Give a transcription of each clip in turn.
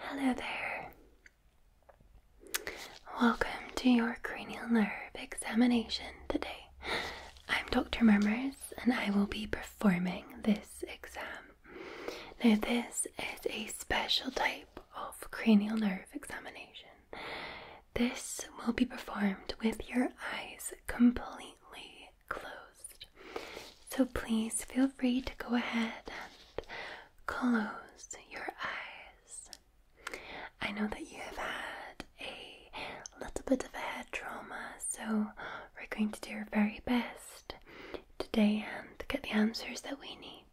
Hello there. Welcome to your cranial nerve examination today. I'm Dr. Murmurs and I will be performing this exam. Now, this is a special type of cranial nerve examination. This will be performed with your eyes completely closed. So please feel free to go ahead and close your eyes. I know that you have had a little bit of a head trauma, so we're going to do our very best today and get the answers that we need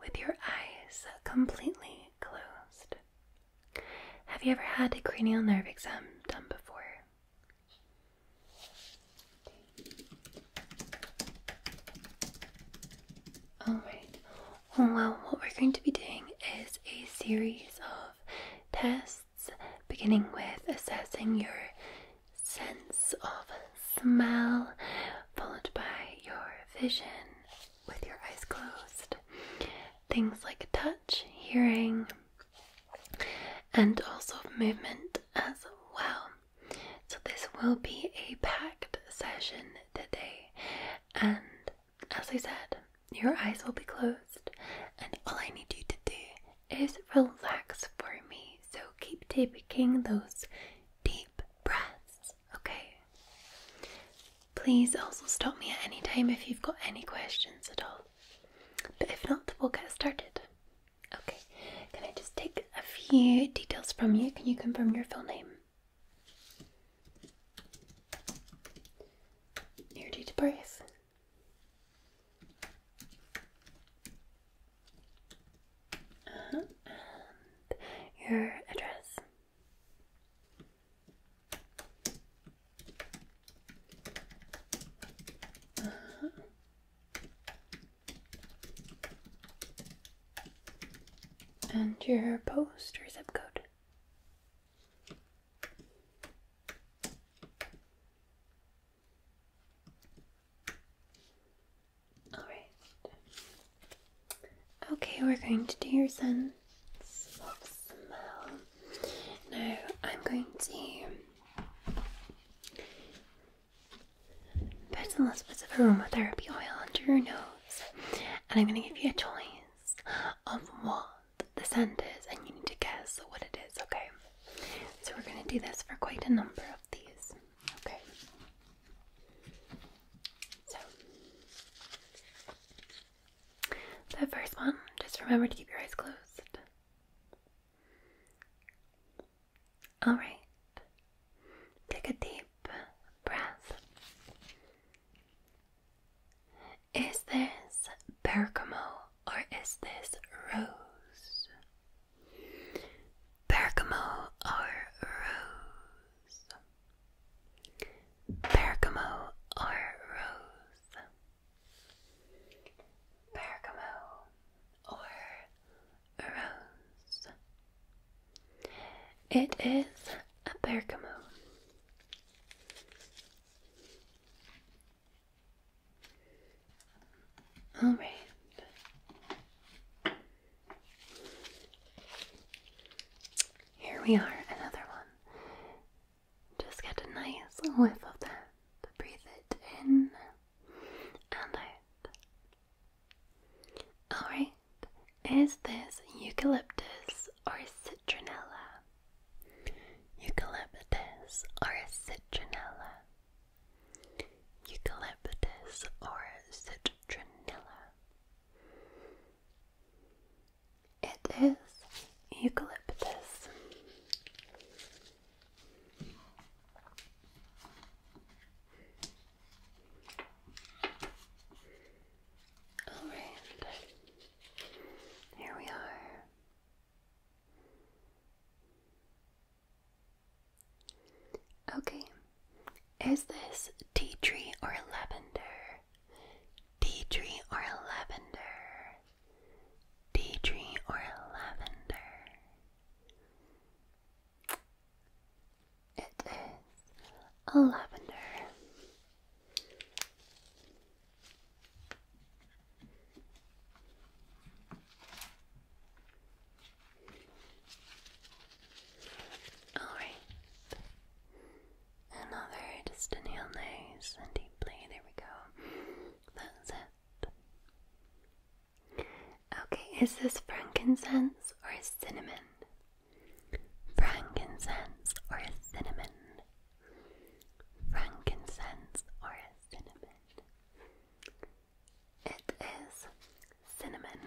with your eyes completely closed. Have you ever had a cranial nerve exam done before? Alright, well, what we're going to be doing is a series of tests, beginning with assessing your sense of smell, followed by your vision with your eyes closed, things like touch, hearing, and also movement as well. So, this will be a packed session today, and as I said, your eyes will be closed, and all I need you to do is relax for me. So keep taking those deep breaths, okay? Please also stop me at any time if you've got any questions at all. But if not, we'll get started. Okay, can I just take a few details from you? Can you confirm your full name? You ready to breathe? Uh-huh, and your address. Uh-huh. And your post or zip code. All right. Okay, we're going to do your sense of Now, I'm going to put a little bit of aromatherapy oil under your nose, and I'm going to give you a choice of what the scent is, and you need to guess what it is, okay? So we're going to do this for quite a number of these, okay? So, the first one, just remember to keep your eyes closed. Alright, take a deep breath. Is this bergamo or is this rose? Bergamo or rose? Bergamo or rose? Bergamo or rose? It is a bergamo. All right. Here we are, another one. Just get a nice whiff of that. Breathe it in and out. Alright, is this eucalyptus or citronella. Eucalyptus or citronella. Eucalyptus or citronella. It is eucalyptus. All right, here we are. Okay, is this tea tree or lavender? Tea tree or lavender? Tea tree or lavender? It is a lavender. All right. Another just inhale nice and deeply. There we go. That's it. Okay, is this frankincense or cinnamon? Frankincense or cinnamon? frankincense or cinnamon. It is cinnamon.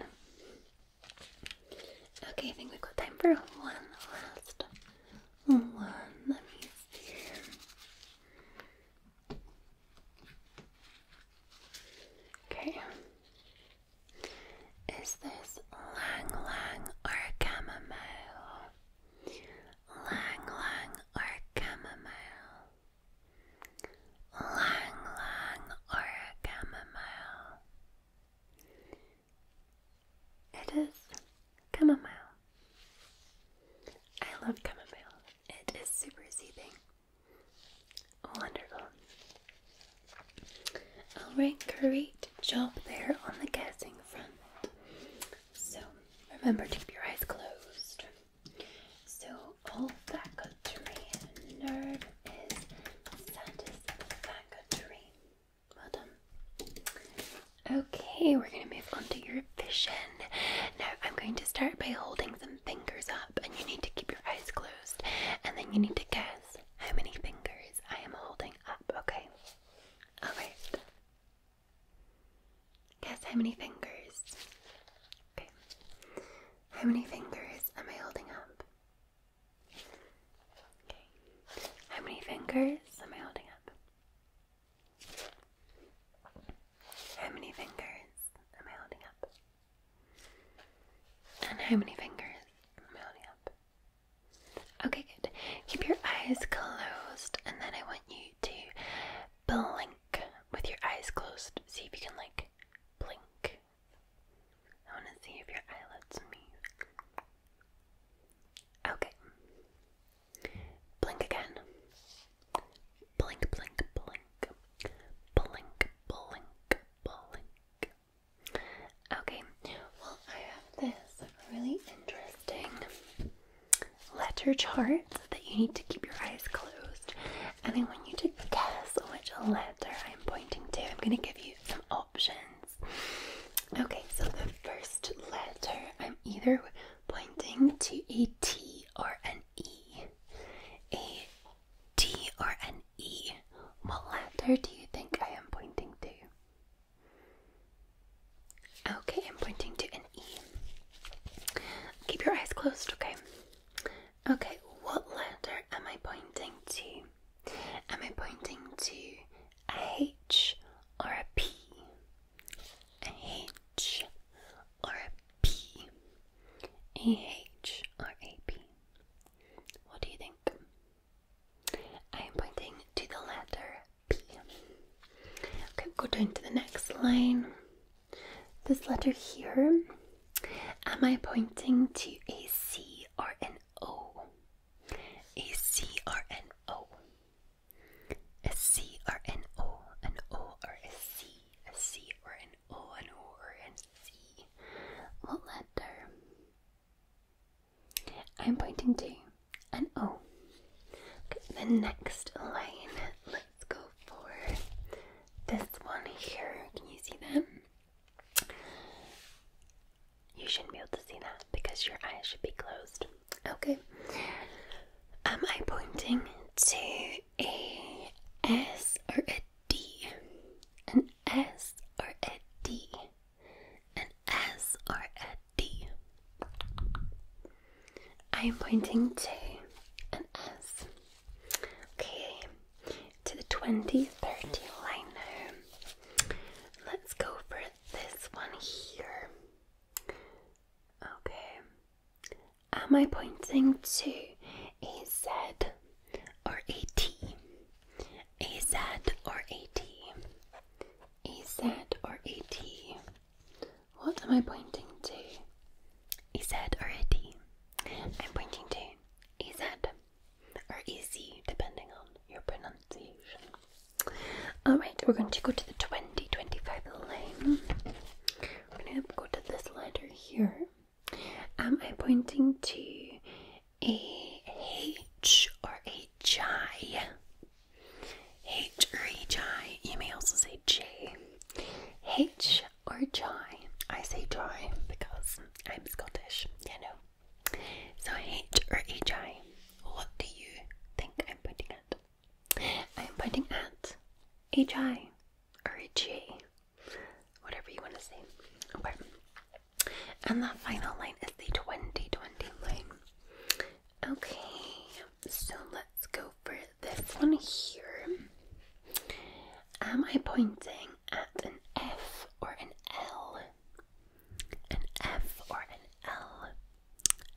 Okay, I think we've got time for one last one. Let me see. Okay. Is this Lang or Chamomile? lang lang or chamomile, lang lang or chamomile. It is chamomile. I love chamomile. It is super soothing. Wonderful. Alright, great job there on the guessing front. So Remember to keep your eyes closed. So, all that good olfactory nerve is Santa's satisfactory. Well done. Okay, we're going to move on to your vision. Now, I'm going to start by holding some fingers up, and you need to keep your eyes closed, and then you need to guess how many fingers I am holding up, okay? Alright. Guess how many fingers? Okay. How many fingers am I holding up? Okay. How many fingers am I holding up? How many fingers am I holding up? And how many fingers am I holding up? Okay, good. Keep your eyes closed, and then I want you to blink with your eyes closed. See if you can, like, blink. I want to see if your eyelids move. Okay. Blink again. Blink, blink, blink. Blink, blink, blink. Okay, well, I have this really interesting letter charts that you need to keep your eyes closed. And I want you to guess which letter I'm pointing to. I'm going to give you some options. Okay, so the first letter, I'm either pointing to a T or an E. A T or an E. What letter do you think I am pointing to? Okay, I'm pointing to an E. Keep your eyes closed, okay? Okay, what letter am I pointing to? Am I pointing to a H or a P? A H or a P? A H or a P? What do you think? I am pointing to the letter P. Okay, go down to the next line. This letter here, am I pointing to a C or an O? A C or an O? A C or an O? An O or a C? A C or an O? An O or a C? What letter? I'm pointing to and oh, Okay, the next line, let's go for this one here. Can you see that? You shouldn't be able to see that because your eyes should be closed. Okay. Am I pointing to a S or a D? An S or a D? An S or a D. I'm pointing to an S. Okay, to the 2030 line Let's go for this one here. Okay. Am I pointing to a Z or a T? A Z or a T? A Z or a T? What am I pointing to? Is that already? I'm pointing to is that or is depending on your pronunciation. Alright, we're going to go to the 2025 line. We're going to go to this letter here. Am I pointing to a H or a J? H or H-I. You may also say J. H or J. I say J because I'm Scottish, you know. So H or H-I. What do you think I'm pointing at? I'm pointing at H-I or H-J. Whatever you want to say. Okay. And the final line is the 2020 line. Okay, so let's go for this one here. Am I pointing at an F or an L? An F or an L?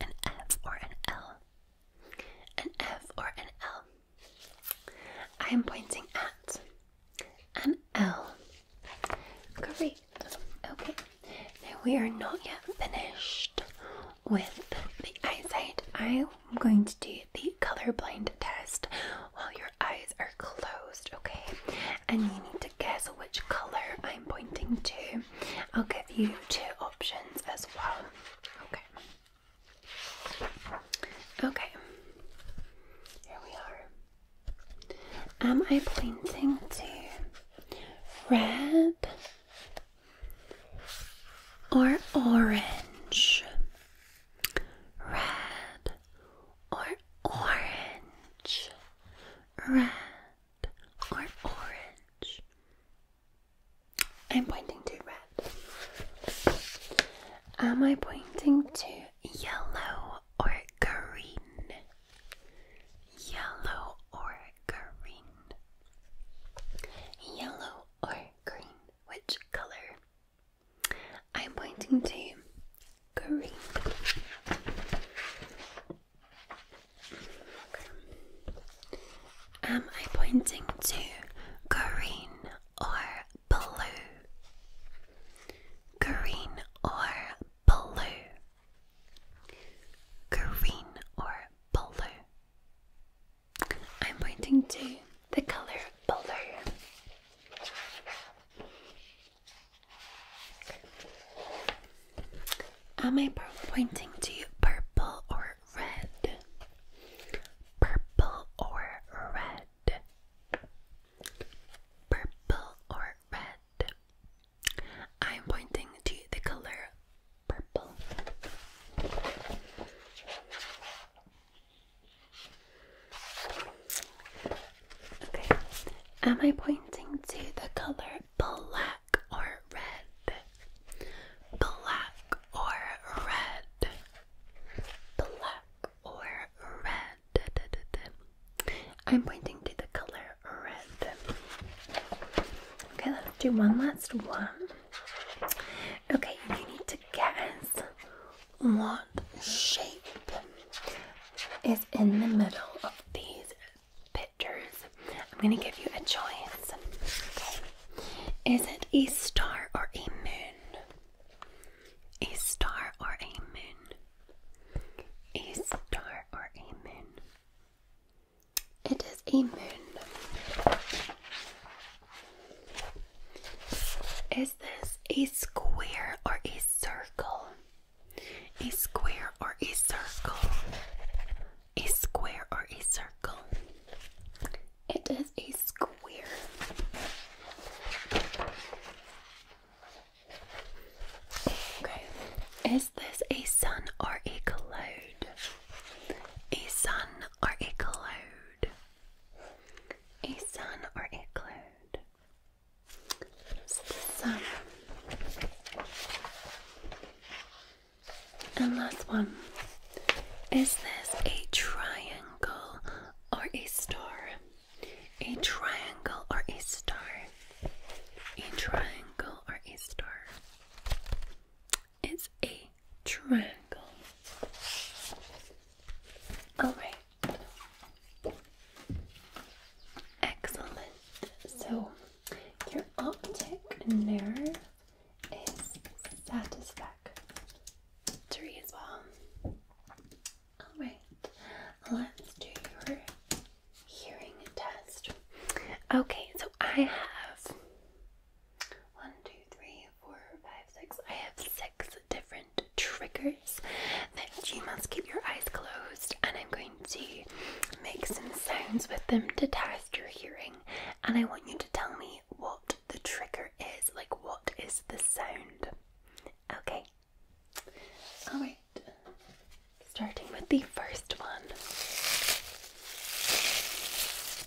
An F or an L? An F or an L? I am pointing at an L. Great. Okay we are not yet finished with the eyesight. I'm going to do the colorblind test while your eyes are closed, okay? And you need to guess which color I'm pointing to. I'll give you two options as well. Okay. Okay. Here we are. Am I pointing to red? or orange, red or orange, red or orange. I'm pointing to red. Am I pointing to yellow or green? Yellow or green? Yellow or green? Which color? I'm pointing to green. Okay. Am I pointing to green or blue? Green or blue? Green or blue? I'm pointing to the color blue. Am I pointing to purple or red? Purple or red? Purple or red? I'm pointing to the color purple. am I pointing to the color black or red? Black or red? Black or red? I'm pointing to the color red. Okay, let's do one last one. Okay, you need to guess what shape is in the middle of these pictures. I'm going to give you a choice. Is it a star or a moon? A star or a moon? A star or a moon? It is a moon. Is this a square or a circle? A square or a circle? A square or a circle? It is a square. Okay. Is this a sun or a cloud? A sun or a cloud? A sun or a cloud? So the sun. And last one. Is this a triangle or a star? A triangle or a star? A triangle or a star? It's a triangle. Alright. Excellent. So, your optic nerve is satisfied as well. Alright, let's do your hearing test. Okay, so I have one, two, three, four, five, six. I have six different triggers that you must keep your eyes closed, and I'm going to make some sounds with them to test your hearing. And I want you to tell me what the trigger is like, what is the sound? Okay, all right, starting with the first one.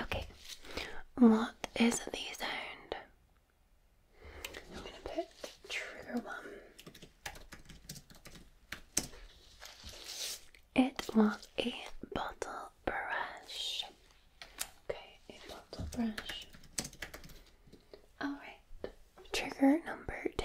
Okay, what is the sound? I'm going to put trigger one. It was a bottle brush. Okay, a bottle brush. Alright, trigger number two.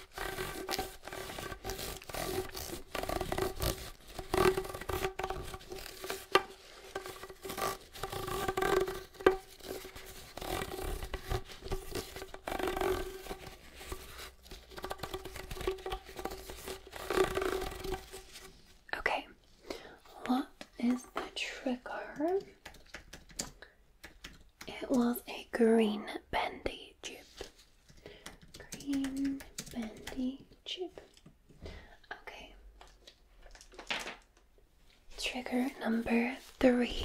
Okay, what is the trigger? It was a green bendy tube. Green bendy chip. Okay. Trigger number three.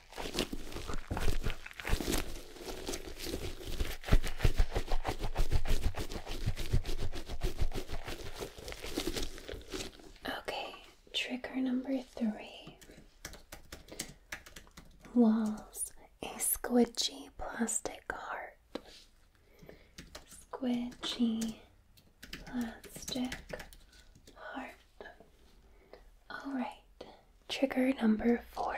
Okay, trigger number three walls a squidgy plastic heart. Squidgy plastic heart. All right, Trigger number four.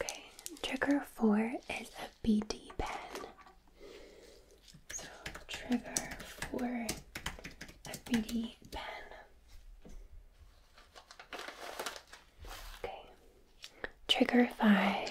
Okay, trigger four is a BD pen. So, trigger four, a BD pen. Okay, trigger five.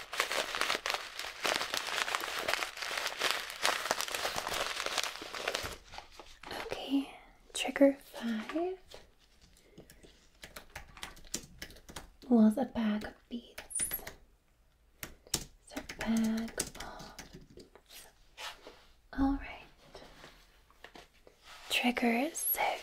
Okay, trigger five was a bag of beads. It's a bag of. Alright. Trigger six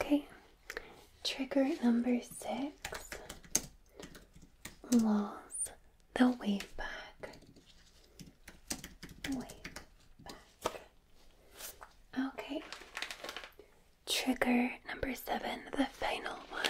Okay, trigger number six. Lost the wave back. Okay. Trigger number seven, the final one.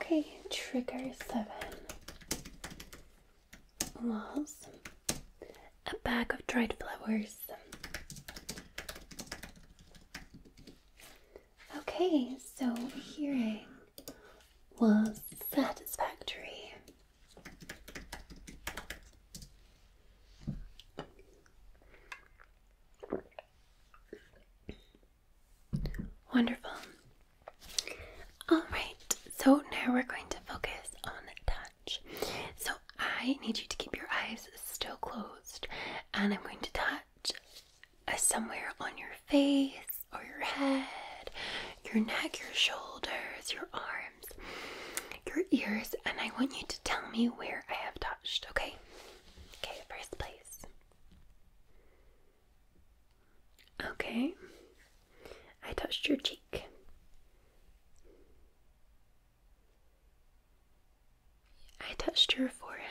Okay, trigger seven was a bag of dried flowers. Okay, so hearing was satisfactory. Wonderful. Alright, so now we're going to focus on touch. So I need you to keep your eyes still closed, and I'm going to touch uh, somewhere on your face or your head, your neck, your shoulders, your arms, your ears, and I want you to tell me where I have touched, okay? Okay, first place. Okay, I touched your cheek. I touched your forehead.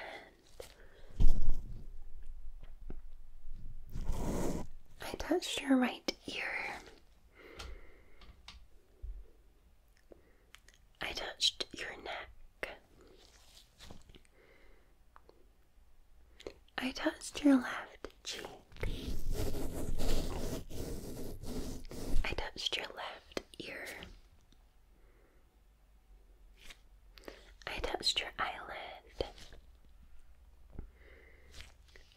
I touched your right ear. I touched your neck. I touched your left cheek. I touched your left ear. I touched your eyelid.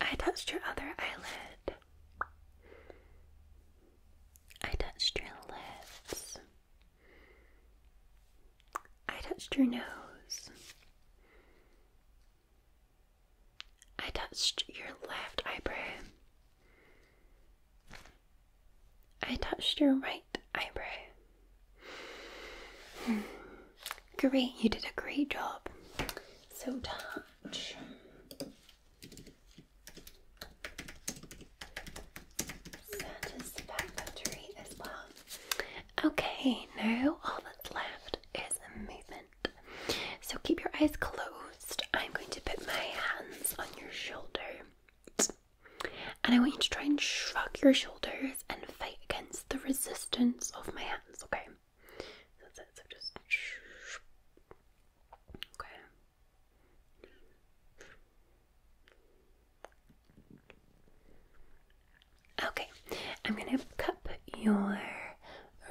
I touched your other eyelid. I touched your lips. I touched your nose. I touched your left eyebrow. I touched your right eyebrow. Hmm. Great, you did a great job. So, touch. Satisfactory as well. Okay, now all that's left is a movement. So keep your eyes closed. I'm going to put my hands on your shoulder. And I want you to try and shrug your shoulders and fight against the resistance of my hands, okay? That's it, so just. Okay. Okay, I'm gonna cup your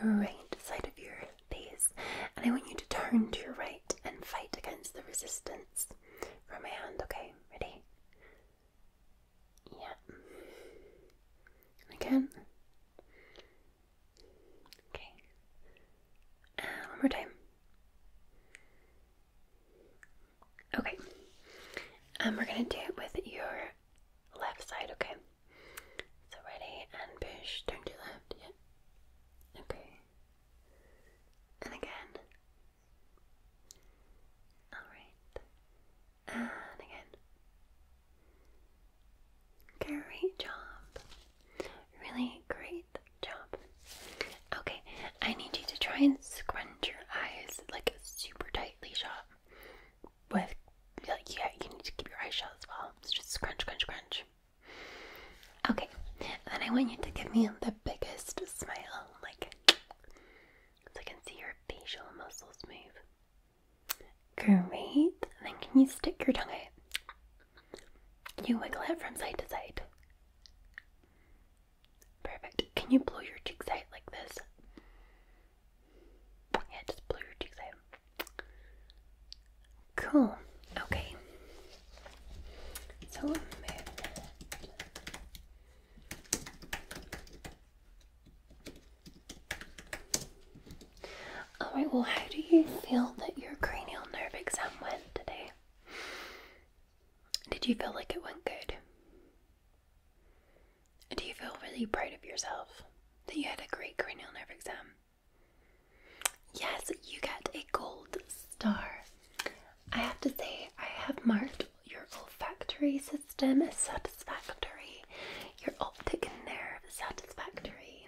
right side of your face, and I want you to turn to your right and fight against the resistance from my hand. Okay, ready? Yeah. Again. Okay. one more time. Okay. and we're gonna do it with your left side, okay? So ready and push, Don't do that. yeah. Okay. And again. Alright. And again. Great job. Really great job. Okay, I need you to try and scrunch your eyes like super tightly shut with like yeah, you need to keep your eyes shut as well. It's just scrunch, crunch, crunch. Okay, then I want you to give me the biggest smile, like so I can see your facial muscles move. Great. Then can you stick your tongue out? You wiggle it from side to side. Perfect. Can you blow your cheeks out like this? Yeah, just blur your cheeks out. Cool. Okay. So Alright, well, how do you feel that your cranial nerve exam went today? Did you feel like it went good? Do you feel really proud of yourself that you had a great cranial nerve exam? Yes, you get a gold star. I have to say, I have marked your olfactory system as satisfactory, your optic nerve satisfactory,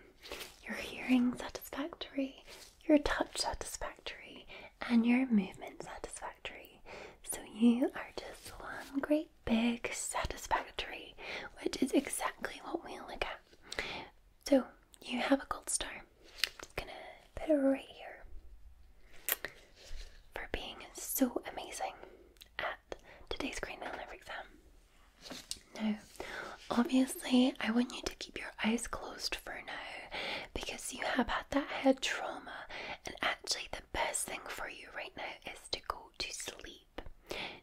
your hearing satisfactory, your touch satisfactory, and your movement satisfactory. So you are just one great big, satisfactory, which is exactly what we look at. So you have a gold star. i just gonna put it right here for being so amazing at today's Green Mail Never exam. Now, obviously, I want you to keep your eyes closed for now because you have had that head trauma, and actually, the best thing for you right now is to go to sleep.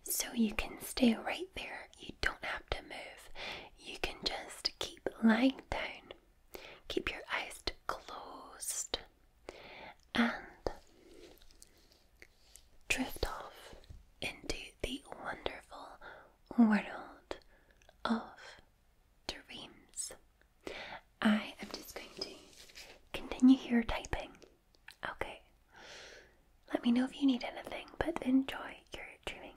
So you can stay right there. You don't have to move. You can just keep lying down. Keep your eyes closed and drift off into the wonderful world of dreams. I am just going to continue here typing Okay. Let me know if you need anything, but enjoy your dreaming.